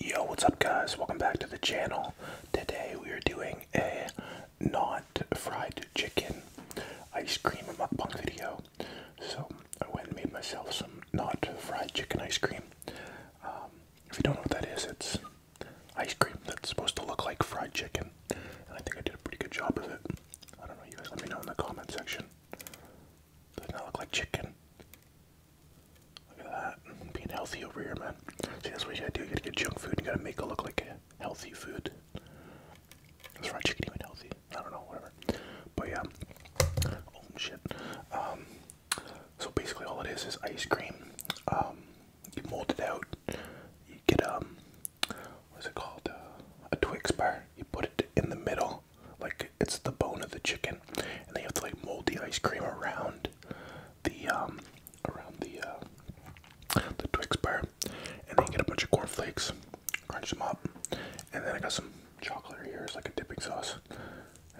Yo, what's up guys? Welcome back to the channel. Today we are doing a not fried chicken ice cream mukbang video. So I went and made myself some not fried chicken ice cream. Um, if you don't know what that is, it's ice cream that's supposed to look like fried chicken. And I think I did a pretty good job of it. I don't know, you guys let me know in the comment section. Doesn't that look like chicken? Look at that. Being healthy over here, man. See, that's what you gotta do. You gotta get junk food. You gotta make it look like healthy food. Is fried chicken even healthy? I don't know, whatever. But yeah. Oh, shit. Um, so basically all it is is ice cream. Um, you mold it out. You get, a um, what's it called? Uh, a Twix bar. You put it in the middle like it's the bone of the chicken, and they have to like mold the ice cream around the um around the uh the Twix bar, and then you get a bunch of corn cornflakes, crunch them up, and then I got some chocolate here as like a dipping sauce,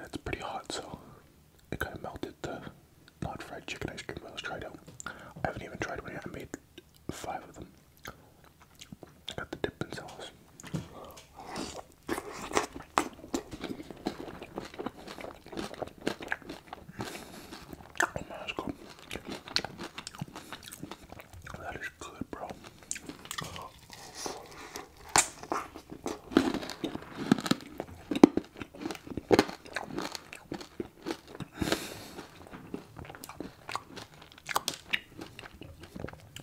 it's pretty hot, so it kind of melted the not fried chicken ice cream. I was trying to. I haven't even tried one yet. I made five of them. I got the dipping sauce that's good. bro.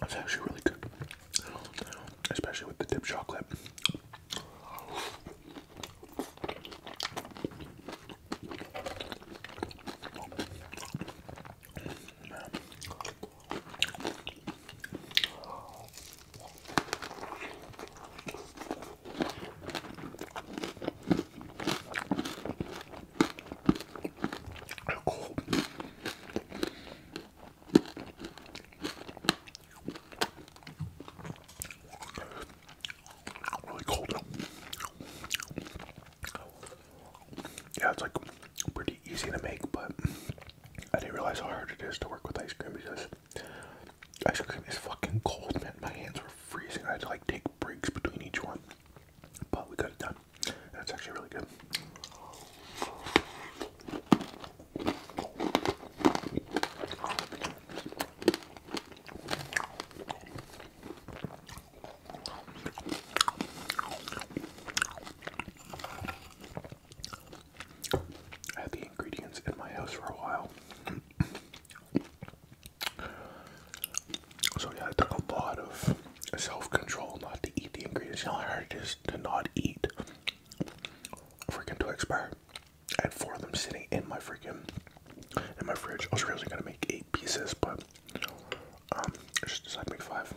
That's actually really good especially with the dip chocolate. Yeah, it's like pretty easy to make, but I didn't realize how hard it is to work with ice cream because ice cream is fucking cold, man. My hands were freezing. I had to like take breaks between each one, but we got it done. That's actually really good. I had the ingredients in my house for a while. So yeah, I took a lot of self-control not to eat the ingredients. You know how hard it is to not eat freaking to expire. I had four of them sitting in my freaking in my fridge. I was really gonna make eight pieces, but um, I just decided to make five.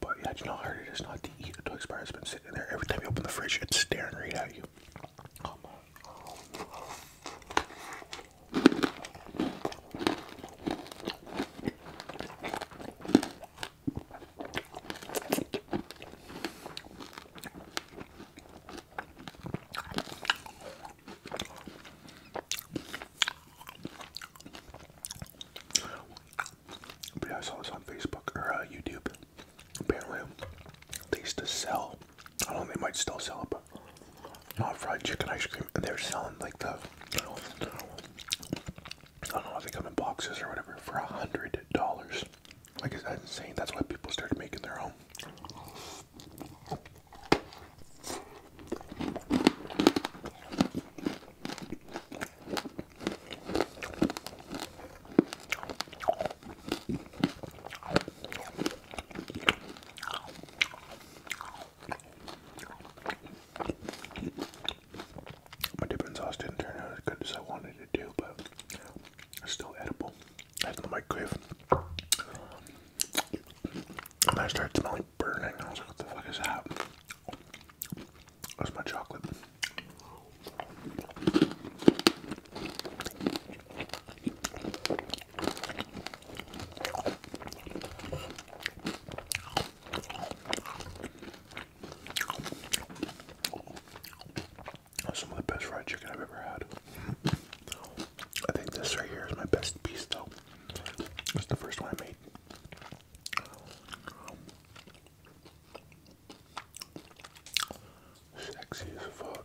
But yeah, you know how hard it is not to eat to expire. It's been sitting there. Every time you open the fridge, it's staring right at you. But I saw this on Facebook or uh, YouTube. Apparently, they used to sell. I don't know, they might still sell it, but not fried chicken ice cream, and they're selling like the, I don't know, they come in boxes or whatever for a hundred dollars. Like, is that insane? That's why people started making their own. My dipping sauce didn't turn out as good as I wanted it to, but it's still edible. I had in the microwave. And I started smelling burning. I was like, what the fuck is that? That's my chocolate some of the best fried chicken I've ever had. I think this right here is my best piece, though. It's the first one I made. Sexy as fuck.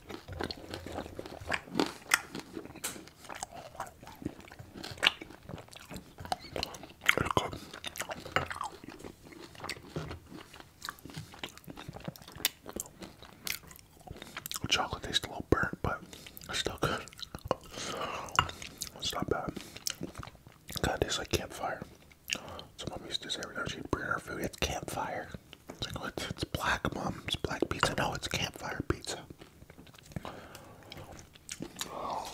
good. Chocolate tastes a little burnt, but it's still good. It's not bad. God, it tastes like campfire. So mom used to say every time she'd bring her food, it's campfire. It's like, oh, it's, black, mom. It's black pizza. No, it's campfire pizza. It's cold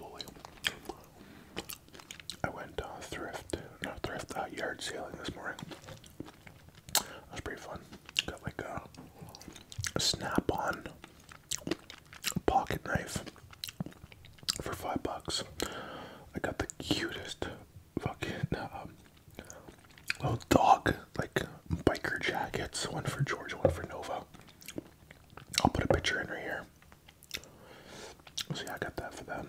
away. I went uh, thrift, not thrift, uh, yard sailing this morning. That was pretty fun. Got like a, snap-on pocket knife for five bucks. I got the cutest fucking um, little dog like biker jackets. One for George. one for Nova. I'll put a picture in right here. So I got that for them.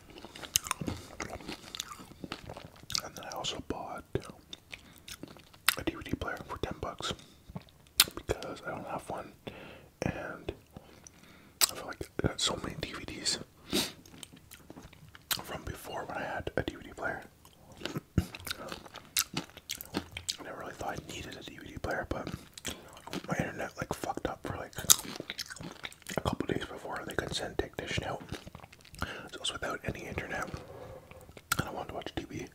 And then I also bought a DVD player for 10 bucks because I don't have one and I feel like I got so many DVDs from before when I had a DVD player. I never really thought I needed a DVD player, but my internet like fucked up for like a couple days before they could send Tech out. So it was without any internet, and I wanted to watch TV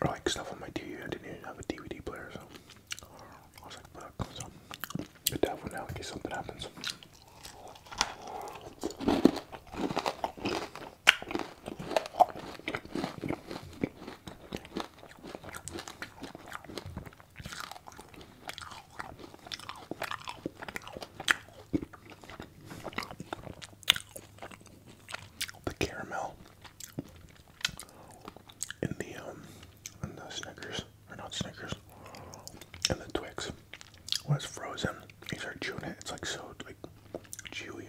or like stuff on my TV. I didn't even have a DVD player, so I was like, "Fuck!" So good to have one now in case something happens. The caramel and the um in the Snickers are not Snickers and the Twix was frozen. You start chewing it, it's like so like chewy.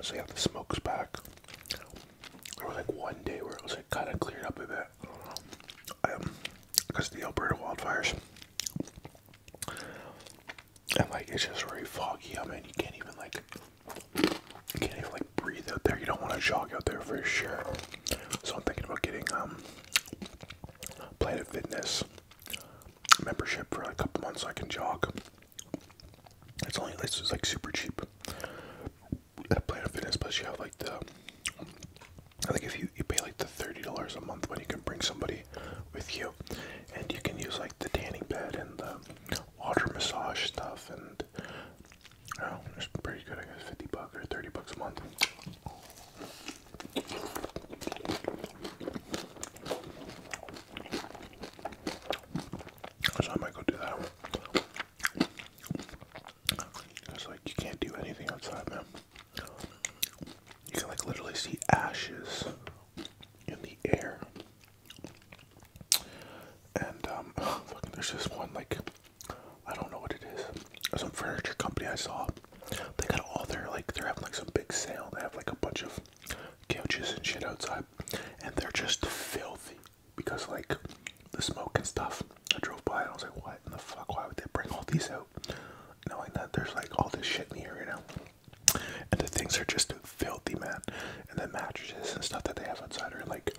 So yeah, the smoke's back. It was like one day where it was like kind of cleared up a bit, because um, the Alberta wildfires, and like it's just very foggy. I mean, you can't even like, you can't even breathe out there. You don't want to jog out there for sure. So I'm thinking about getting um Planet Fitness membership for a couple months so I can jog. It's only it's just like super cheap. At Planet Fitness plus you have like the I think if you, you pay like the thirty dollars a month when you can bring somebody with you and you can use like the tanning bed and the water massage stuff and Oh, it's pretty good, I guess. 50 bucks or 30 bucks a month. I might go do that. It's like you can't do anything outside, man. You can like literally see ashes in the air. And um, fucking, there's this one like I don't know what it is. Some furniture company I saw. They got all their like they're having like some big sale. They have like a bunch of couches and shit outside, and they're just filthy because like the smoke and stuff. I drove by and I was like, what in the fuck? Why would they bring all these out? Knowing that there's like all this shit in here, you know. And the things are just filthy, man. And the mattresses and stuff that they have outside are like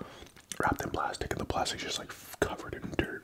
wrapped in plastic, and the plastic's just like covered in dirt.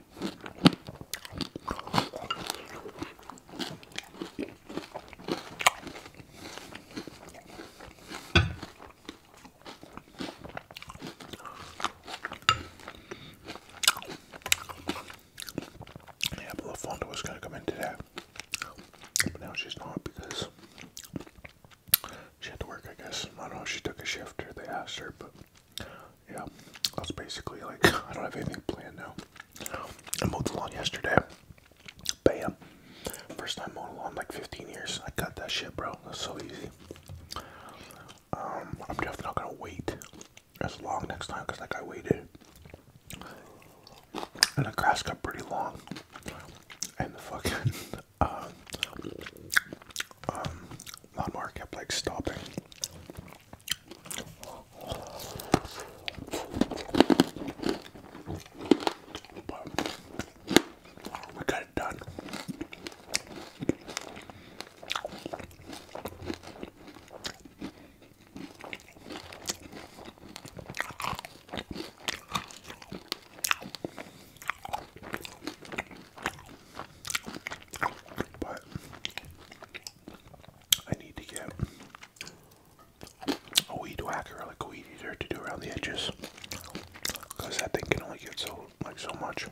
Yeah, but was going to come in today. But now she's not because she had to work, I guess. I don't know if she took a shift or they asked her, but yeah, that's basically like I don't have anything planned now. I mowed the lawn yesterday. Bam. First time mowed a lawn like 15 years. I cut that shit, bro. That's so easy. Um, I'm definitely not gonna wait as long next time because like I waited. And the grass got pretty long. And the fucking um, um, not kept like stopping. But we got it done. But I need to get a weed whacker, like a weed eater, to do around the edges, because that thing can only get so like so much.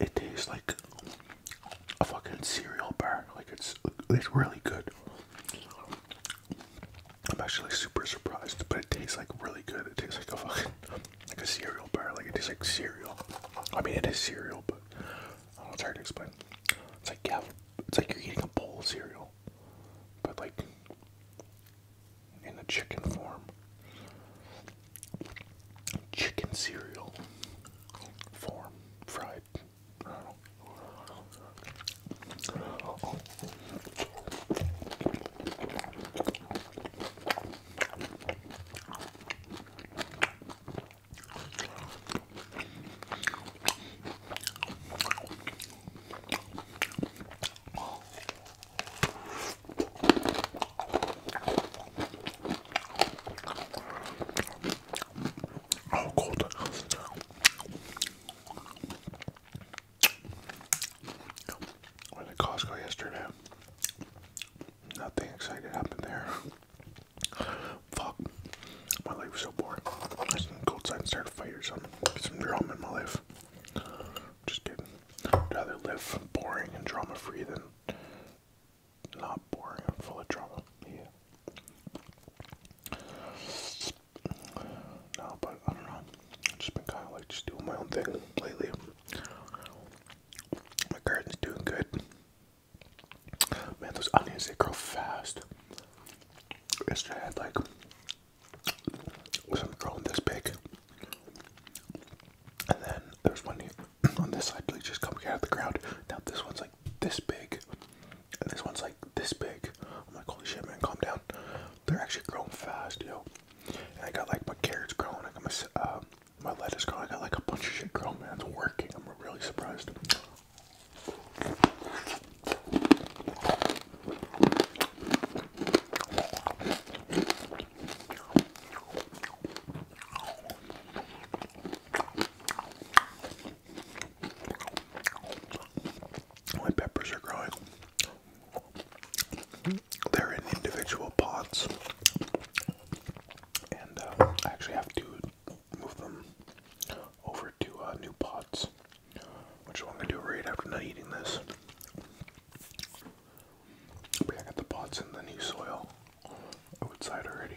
It tastes like a fucking cereal bar. Like it's it's really good. I'm actually super surprised, but it tastes like really good. It tastes like a fucking like a cereal bar. Like it tastes like cereal. I mean, it is cereal, but it's hard to explain. It's like yeah, it's like you're eating a bowl of cereal, but like in a chicken form. Chicken cereal form, fried. Oh, cold. Went to Costco yesterday. Nothing exciting happened there. Fuck. My life was so boring. I just go outside and start a fight or something. some drama in my life. Just kidding. I'd rather live boring and drama free than not boring and full of drama. Yeah. No, but I don't know. I've just been kind of like just doing my own thing lately. My garden's doing good. Man, those onions, they grow fast. Yesterday I had like some drone this big. And then there's one here on this side, They just come out of the ground. Now this one's like this big. And this one's like this big. I'm like, holy shit, man, calm down. They're actually growing fast, yo. And I got like my carrots growing, I got my, uh, my lettuce growing, I got like a bunch of shit growing, man. It's working. I'm really surprised. My peppers are growing. They're in individual pots, and uh, I actually have to move them over over uh, New Pots, which I'm gonna do right after not eating this. I got the pots in the new soil outside already.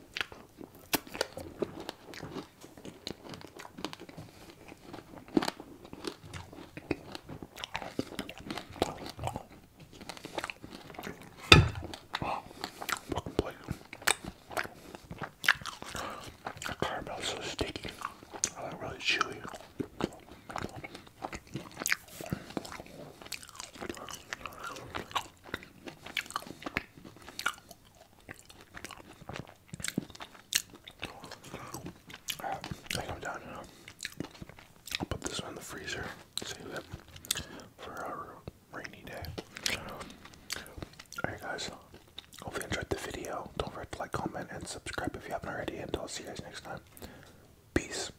Oh, fucking plate. The caramel's so sticky. Oh, that really chewy. I think i I'll put this in the freezer, save it for our rainy day. Alright guys, hope you enjoyed the video. Don't forget to like, comment, and subscribe if you haven't already, and I'll see you guys next time. Peace.